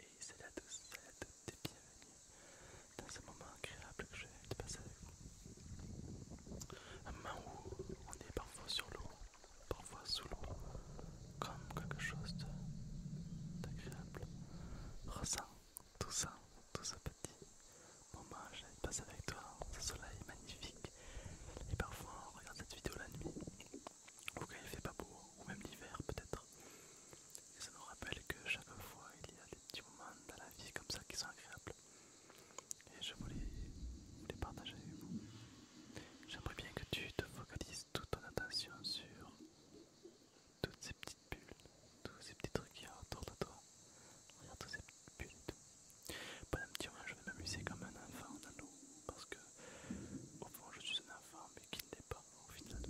Et c'est à tous, salut à toutes dans ce moment agréable que je vais passer avec vous. Un moment où on est parfois sur l'eau, parfois sous l'eau, comme quelque chose d'agréable. ressent tout ça, tout ce petit moment j'allais passer avec toi ce soleil magnifique et parfois on regarde cette vidéo la nuit ou quand il fait pas beau ou même l'hiver peut-être et ça nous rappelle que chaque fois il y a des petits moments dans la vie comme ça qui sont agréables et je voulais les partager avec vous. J'aimerais bien que tu te focalises toute ton attention sur toutes ces petites bulles tous ces petits trucs qu'il y a autour de toi. Regarde tous ces petits bulles et tout. petit moment hein, je vais m'amuser comme un enfant dans l'eau parce que, au fond, je suis un enfant mais qui ne l'est pas au final.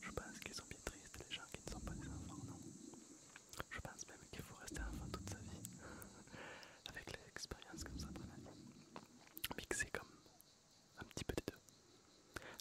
Je pense qu'ils sont bien tristes les gens qui ne sont pas des enfants, non Je pense même qu'il faut rester enfant toute sa vie avec les expériences ça mais que c'est comme un petit peu des deux.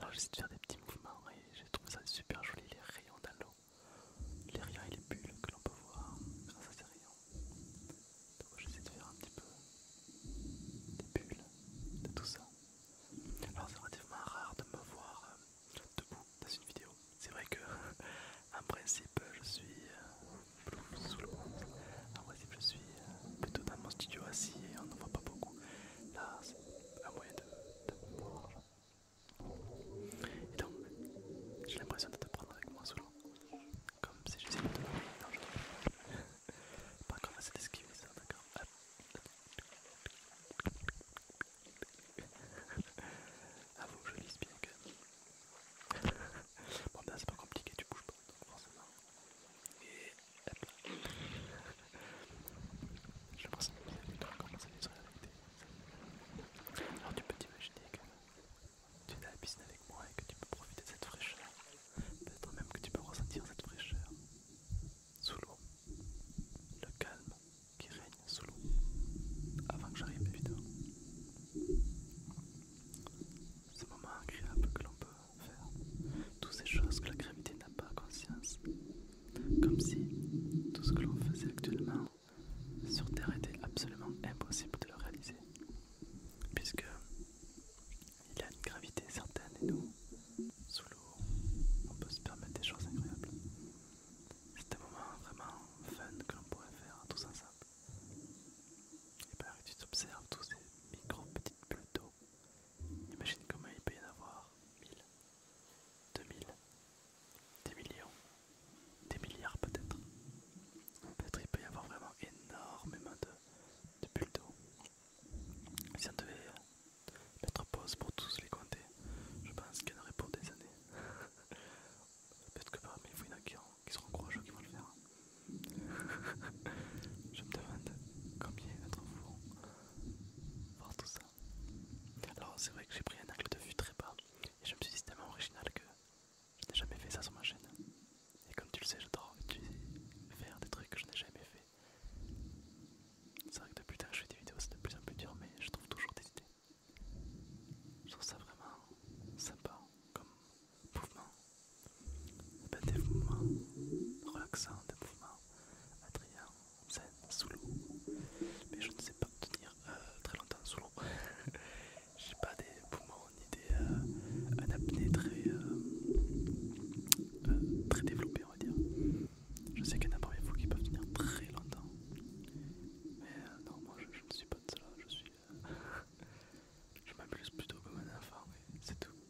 Alors j'essaie de faire des petits mouvements et je trouve ça super joli les rayons dans l'eau les rayons et les bulles que l'on peut voir grâce ah, à ces rayons. Donc j'essaie de faire un petit peu des bulles de tout ça. Alors c'est relativement rare de me voir euh, debout dans une vidéo. C'est vrai que en principe je suis euh, sous monde En principe je suis euh, plutôt dans mon studio assis et on ne voit pas beaucoup. Là c'est un moyen de, de me voir et donc, j'ai l'impression de te prendre avec moi souvent, comme si j'essayais de pas Non, je d'esquiver ça, d'accord Ah, vous, je lise bien que bon, ben, c'est pas compliqué, tu bouges pas, donc forcément. Et hop je l'impression que à vivre la Alors tu peux t'imaginer que tu es à la piscine avec moi et que tu peux profiter de cette fraîcheur. Peut-être même que tu peux ressentir cette fraîcheur sous l'eau. Le calme qui règne sous l'eau. Avant que j'arrive évidemment. Ce moment agréable que l'on peut faire. Toutes ces choses que la gravité n'a pas conscience comme si tout ce que l'on faisait actuellement sur Terre était absolument impossible de le réaliser, puisque il a une gravité certaine et nous, sous l'eau, on peut se permettre des choses incroyables. C'est un moment vraiment fun que l'on pourrait faire tous ensemble. Et bien, tu t'observes tous ces micro petites bulles d'eau. Imagine comment il peut y en avoir mille, 2000, 10 millions, Des milliards peut-être. Peut-être qu'il peut y avoir vraiment énormément de, bulles d'eau. Si on devait euh, mettre pause pour tous les compter, je pense qu'il y en aurait pour des années. peut-être que parmi vous, il y en a qui, qui seront courageux qui vont le faire. je me demande combien d'entre vous voir tout ça. Alors c'est vrai que j'ai pris un angle de vue très bas et je me suis dit c'est tellement original que je n'ai jamais fait ça sur ma chaîne. Et comme tu le sais, j'adore faire des trucs que je n'ai jamais fait. C'est vrai que depuis que je fais des vidéos, c'est de plus en plus dur, mais je trouve toujours des idées. Je trouve ça vraiment sympa comme mouvement des mouvements relaxants, des mouvements attrayants, zen, sous l'eau. Mais je ne sais pas tenir euh, très longtemps sous l'eau. J'ai pas des poumons ni des un euh, apnée très, euh, très développé, on va dire. Je sais qu'il y en a parmi vous qui peuvent tenir très longtemps. Mais non, moi je, ne suis pas de ça. Je suis. je m'amuse plutôt comme un enfant, mais c'est tout.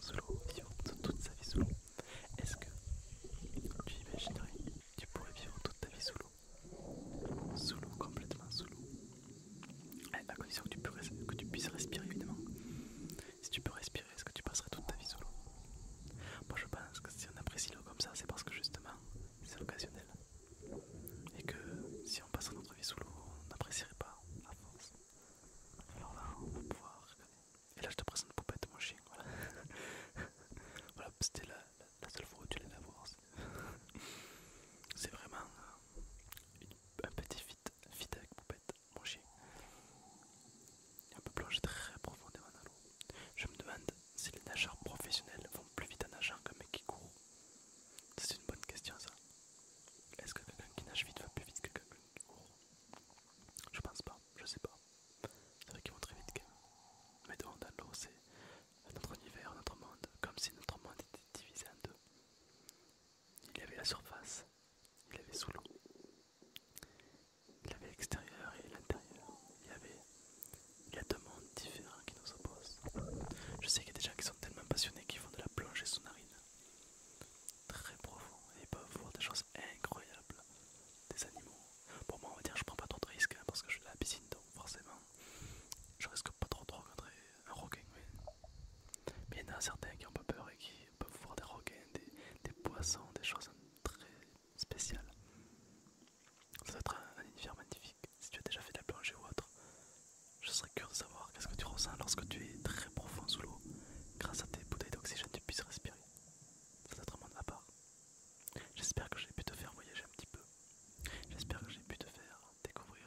sous l'eau, toute sa vie sous l'eau, est-ce que tu imaginerais tu pourrais vivre toute ta vie sous l'eau Sous l'eau, complètement sous l'eau. À condition que tu, puisses, que tu puisses respirer, évidemment. Si tu peux respirer, est-ce que tu passerais toute ta vie sous l'eau Moi je pense que si on apprécie l'eau comme ça, c'est parce que justement c'est occasionnel. Et que si on passait notre vie sous l'eau, on n'apprécierait pas à force. Alors là, on va pouvoir regarder. Et là, je te présente Poupette, mon chien. Voilà, c'était la, seule fois où tu l'as la voir. C'est vraiment euh, un petit fit, avec Poupette, mon chien. Un peu plonger très profondément dans l'eau. Je me demande si les nageurs professionnels vont plus vite en nageant qu'un mec qui court. C'est une bonne question, ça. Est-ce que quelqu'un qui nage vite va plus vite que quelqu'un qui court Je pense pas, je sais pas. C'est vrai qu'ils vont très vite quand Mais dans l'eau, c'est notre univers, notre monde, comme si notre monde était divisé en deux. Il y avait la surface, il y avait sous l'eau, il y avait l'extérieur et l'intérieur. Il y avait deux mondes différents qui nous opposent. Je sais qu'il y a des gens qui sont tellement passionnés qu'ils font de la plongée sous-marine très profond et ils peuvent voir des choses incroyables des animaux pour moi on va dire je prends pas trop de risques hein, parce que je suis la piscine donc forcément je risque pas trop de rencontrer un requin mais il y en a certains qui ont pas peur et qui peuvent voir des requins des, poissons des choses très spéciales ça doit être un univers magnifique si tu as déjà fait de la plongée ou autre je serais curieux de savoir qu'est-ce que tu ressens lorsque tu es très profond sous l'eau. Grâce à tes bouteilles d'oxygène, tu puisses respirer. C'est de part. J'espère que j'ai pu te faire voyager un petit peu. J'espère que j'ai pu te faire découvrir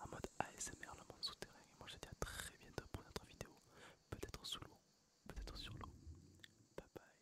en mode ASMR le monde souterrain. Et moi je te dis à très bientôt pour une autre vidéo. Peut-être sous l'eau, peut-être sur l'eau. Bye bye.